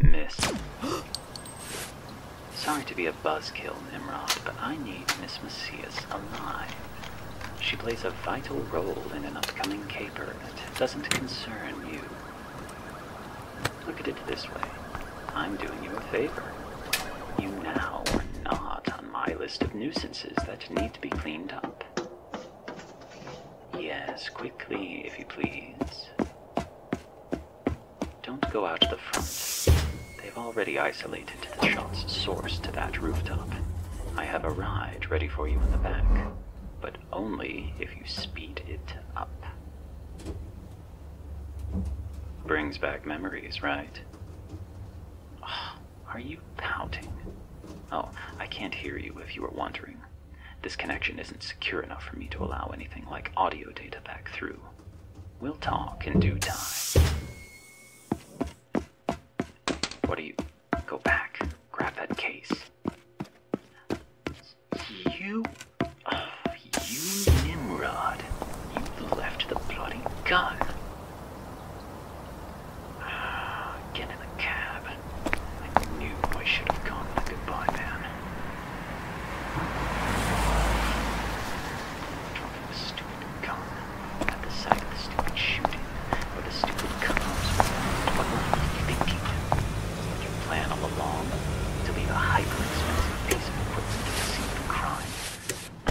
Miss. Sorry to be a buzzkill, Nimrod, but I need Miss Macias alive. She plays a vital role in an upcoming caper that doesn't concern you. Look at it this way. I'm doing you a favor. You now are not on my list of nuisances that need to be cleaned up. Yes, quickly, if you please. Don't go out to the front. They've already isolated the shot's source to that rooftop. I have a ride ready for you in the back, but only if you speed it up. Brings back memories, right? are you pouting? Oh, I can't hear you if you are wandering. This connection isn't secure enough for me to allow anything like audio data back through. We'll talk in due time. What are you? Go back. Grab that case. You... you Nimrod. You left the bloody gun. Ah, get in the cab. I knew I should have gone with goodbye man. stupid gun at the side stupid shooting or the stupid comms. What were thinking? What you plan all along? To be a hyper-expensive piece of equipment to deceive the crime?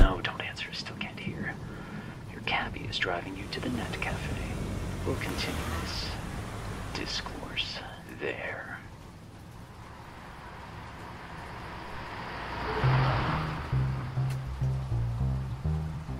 No, don't answer. Still can't hear. Your cabbie is driving you to the net cafe. We'll continue this discourse there.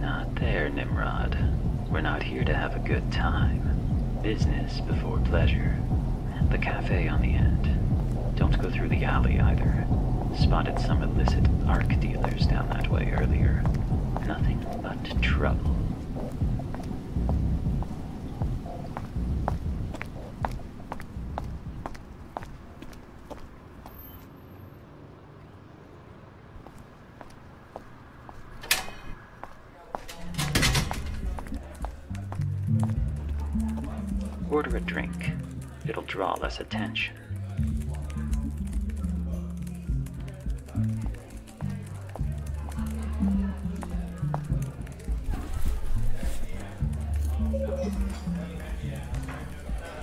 Not there, Nimrod. We're not here to have a good time. Business before pleasure. The cafe on the end. Don't go through the alley either. Spotted some illicit arc dealers down that way earlier. Nothing but trouble. Order a drink. It'll draw less attention.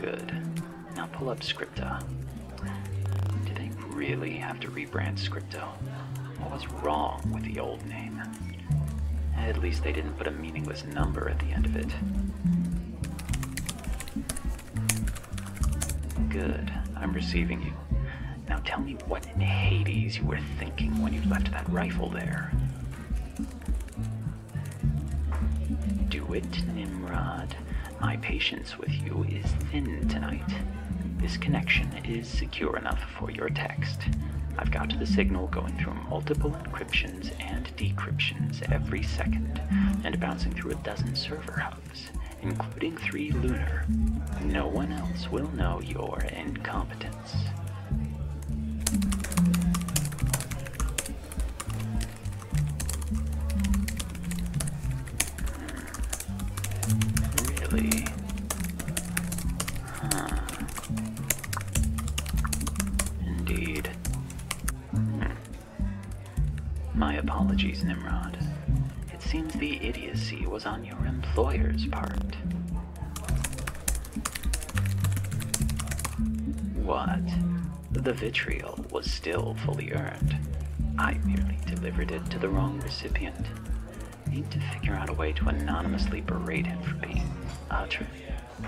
Good. Now pull up Scripta. Do they really have to rebrand Scripta? What was wrong with the old name? At least they didn't put a meaningless number at the end of it. Good. I'm receiving you. Now tell me what in Hades you were thinking when you left that rifle there. Do it, Nimrod. My patience with you is thin tonight. This connection is secure enough for your text. I've got the signal going through multiple encryptions and decryptions every second, and bouncing through a dozen server hubs, including three lunar. No one else will know your incompetence. Really? Indeed. My apologies, Nimrod. It seems the idiocy was on your employer's part. What? The vitriol was still fully earned. I merely delivered it to the wrong recipient. Need to figure out a way to anonymously berate him for being utterly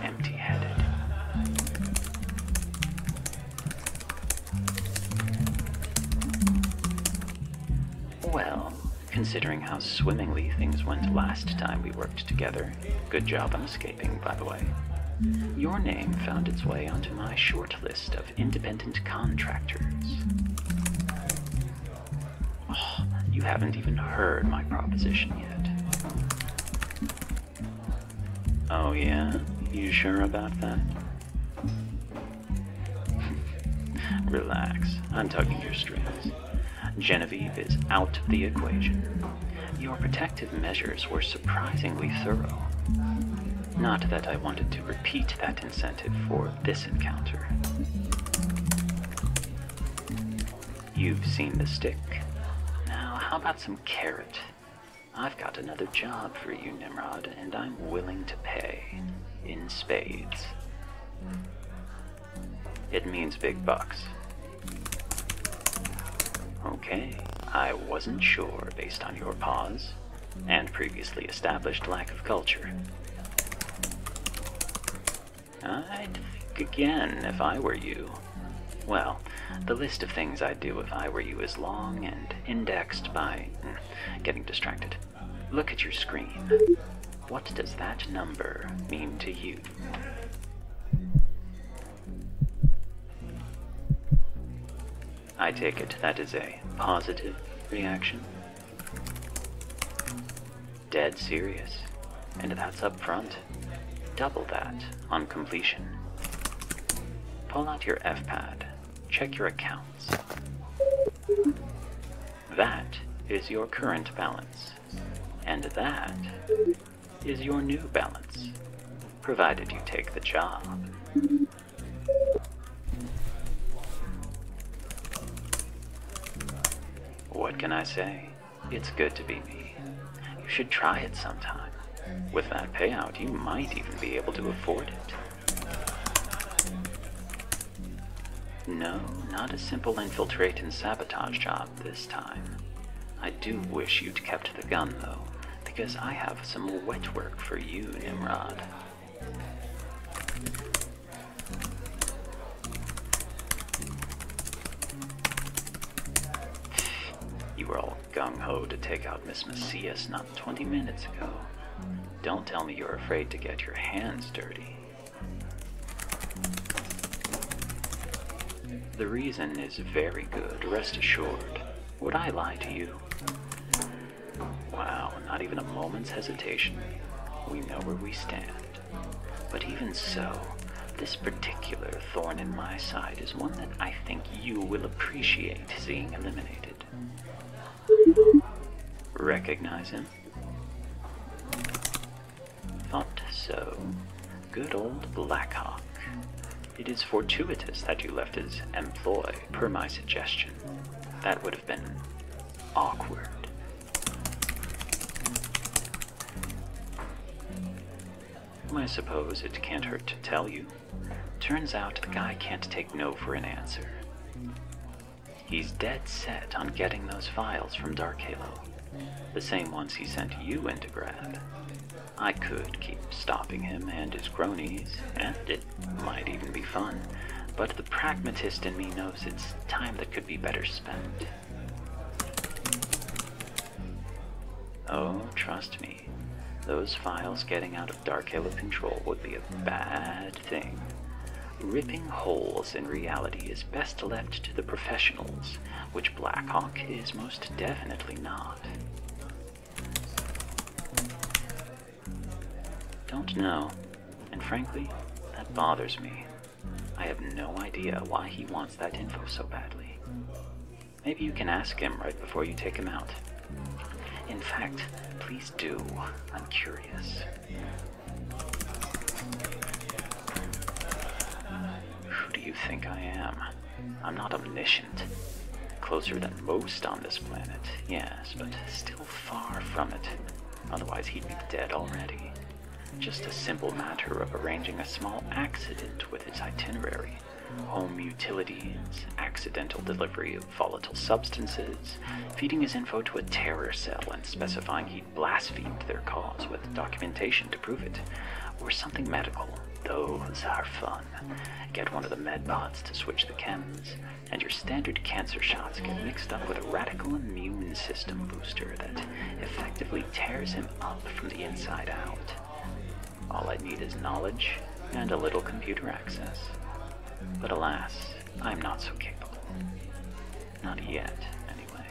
empty-headed. Well, considering how swimmingly things went last time we worked together, good job on escaping, by the way. Your name found its way onto my short list of independent contractors. Oh, you haven't even heard my proposition yet. Oh, yeah? You sure about that? Relax, I'm tugging your strings. Genevieve is out of the equation. Your protective measures were surprisingly thorough. Not that I wanted to repeat that incident for this encounter. You've seen the stick. Now, how about some carrot? I've got another job for you, Nimrod, and I'm willing to pay. In spades. It means big bucks. Okay, I wasn't sure based on your pause and previously established lack of culture. I'd think again if I were you. Well, the list of things I'd do if I were you is long and indexed by hmm, getting distracted. Look at your screen. What does that number mean to you? I take it that is a positive reaction? Dead serious. And that's up front. Double that on completion. Pull out your F-pad. Check your accounts. That is your current balance. And that is your new balance, provided you take the job. What can I say? It's good to be me. You should try it sometime. With that payout, you might even be able to afford it. No, not a simple infiltrate and sabotage job this time. I do wish you'd kept the gun, though, because I have some more wet work for you, Nimrod. You were all gung-ho to take out Miss Macias not 20 minutes ago. Don't tell me you're afraid to get your hands dirty. The reason is very good, rest assured. Would I lie to you? Wow, not even a moment's hesitation. We know where we stand. But even so, this particular thorn in my side is one that I think you will appreciate seeing eliminated. Recognize him? Thought so. Good old Blackhawk. It is fortuitous that you left his employ per my suggestion. That would have been awkward. I suppose it can't hurt to tell you. Turns out the guy can't take no for an answer. He's dead set on getting those files from Dark Halo, the same ones he sent you into grab. I could keep stopping him and his cronies, and it might even be fun, but the pragmatist in me knows it's time that could be better spent. Oh, trust me, those files getting out of Dark Hill Control would be a bad thing. Ripping holes in reality is best left to the professionals, which Blackhawk is most definitely not. Don't know, and frankly, that bothers me. I have no idea why he wants that info so badly. Maybe you can ask him right before you take him out. In fact, please do. I'm curious. Who do you think I am? I'm not omniscient. Closer than most on this planet, yes, but still far from it. Otherwise, he'd be dead already. Just a simple matter of arranging a small accident with his itinerary. Home utilities, accidental delivery of volatile substances, feeding his info to a terror cell and specifying he would blasphemed their cause with documentation to prove it, or something medical those are fun. Get one of the medbots to switch the chems, and your standard cancer shots get mixed up with a radical immune system booster that effectively tears him up from the inside out. All I need is knowledge and a little computer access. But alas, I'm not so capable. Not yet, anyway.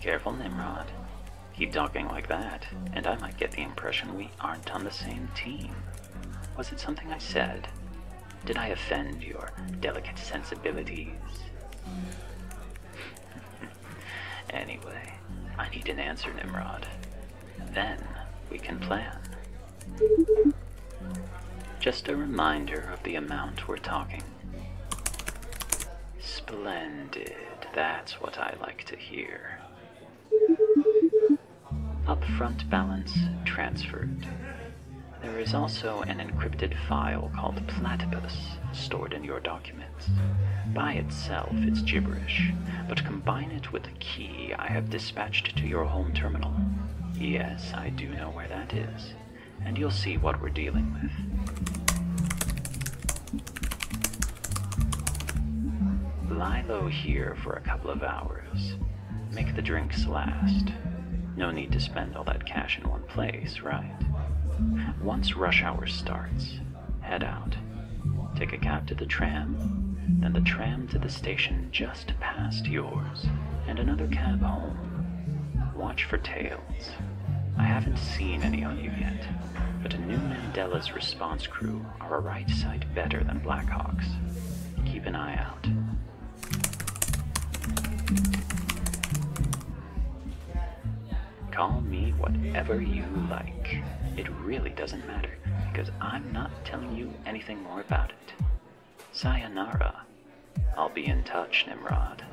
Careful, Nimrod. Keep talking like that, and I might get the impression we aren't on the same team. Was it something I said? Did I offend your delicate sensibilities? anyway, I need an answer, Nimrod. Then we can plan. Just a reminder of the amount we're talking Splendid. That's what I like to hear. Upfront balance transferred. There is also an encrypted file called Platypus stored in your documents. By itself, it's gibberish, but combine it with a key I have dispatched to your home terminal. Yes, I do know where that is and you'll see what we're dealing with. Lie low here for a couple of hours. Make the drinks last. No need to spend all that cash in one place, right? Once rush hour starts, head out. Take a cab to the tram, then the tram to the station just past yours, and another cab home. Watch for tail I haven't seen any on you yet, but a new Mandela's response crew are a right sight better than Blackhawks. Keep an eye out. Call me whatever you like. It really doesn't matter, because I'm not telling you anything more about it. Sayonara. I'll be in touch, Nimrod.